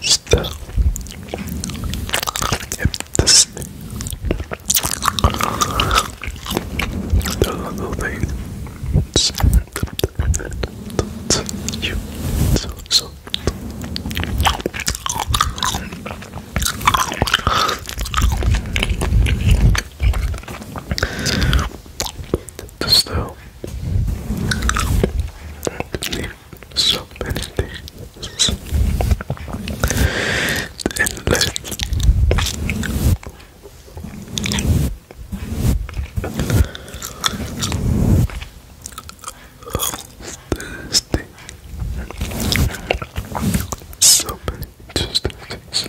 Still, if this the little thing you still so many things and let's thing. So many interesting things.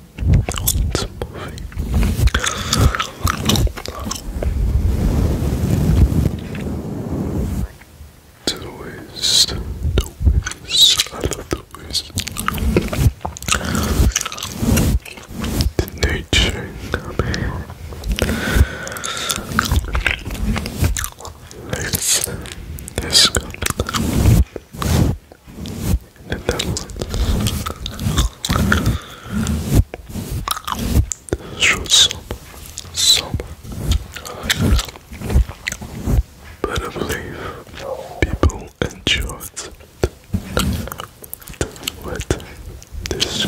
the waist, the waist, I love the waist. The nature Let's, let's go and then shoot some, some, but I believe people enjoyed with this.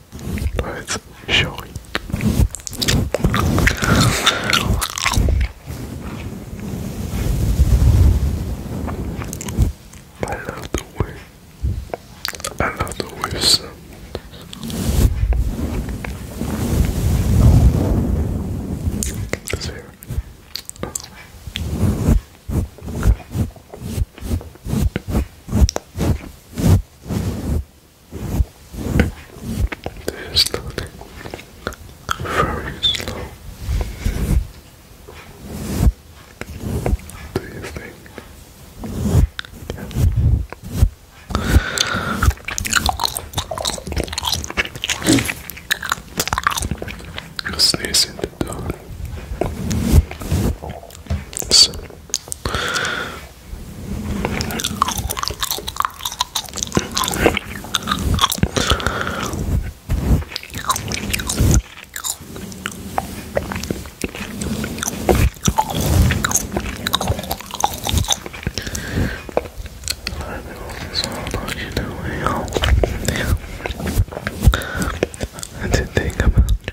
Let's I love the way. I love the way sound. It is not very slow. Do you think? Yeah. Sneeze in the door. So, I did think about you.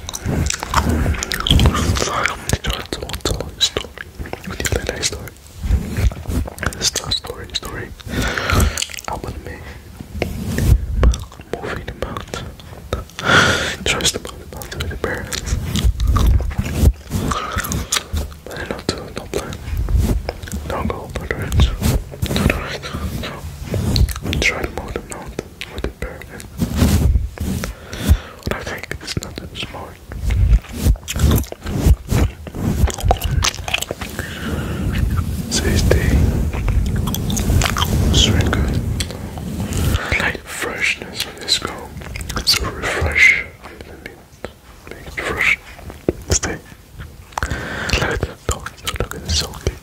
to tell a story with story. story story. I wanna movie about trust about the mountain with the parents. But I don't do Don't go, do it. Don't Try to move the mountain with imperative. What I think is nothing smart. Tasty, sweeter, like freshness on this go. So refresh. make it fresh. Stay. Look at the dog. Look at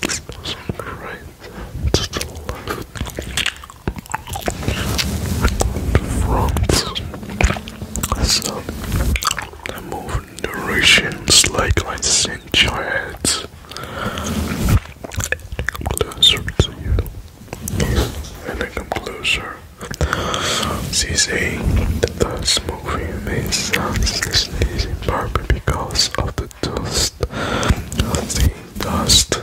This smells great. Just love From some moving narrations like I sent your heads. And come closer to you. And I come closer. She's saying that the smoke film makes sounds sneezing partly because of the dust. The dust.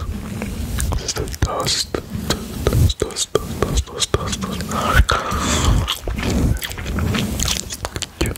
It's the dust. Dust, dust, dust, dust, dust, dust, dust. Cute.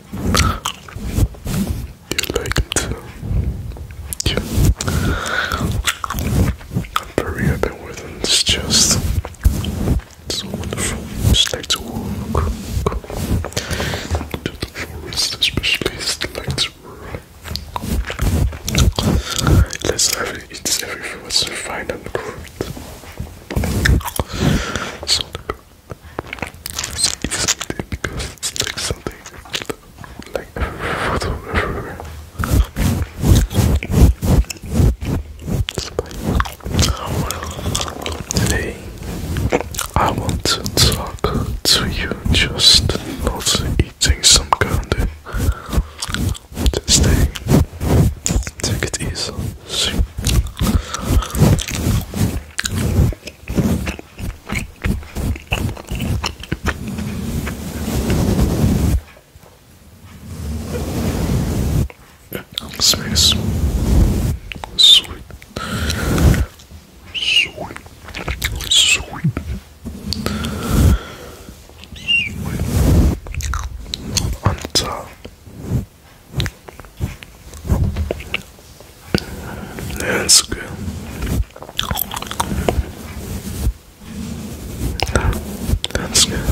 You like it too. I'm very happy with it. It's just so wonderful. Just like to walk to the forest, especially it's like to run. Let's have it. everything was fine and good. So the it's inflated because it's like something like photo everywhere. Today I want to talk to you just not eating some candy. Just stay. Take it Space. Sweet. Sweet. Sweet. Sweet. Not on that's good. That's good. That's good.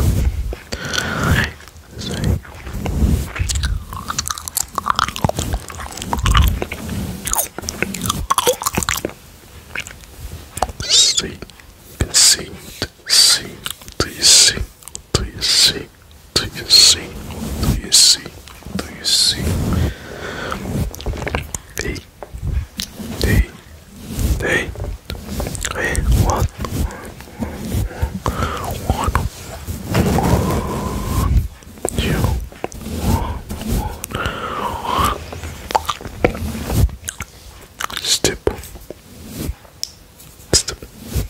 See, see, see, do you see, do you see, do you see? Do you see? Do you see? Hey, hey, hey, hey, what? Step. Step.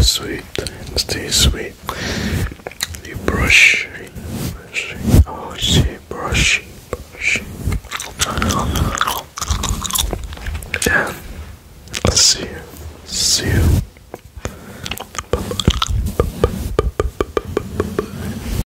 Sweet time, stay sweet stay sweet. You brush, brush, oh, she brush, brush. And I'll see you, see you. Bye -bye. Bye -bye. Bye -bye. Bye -bye.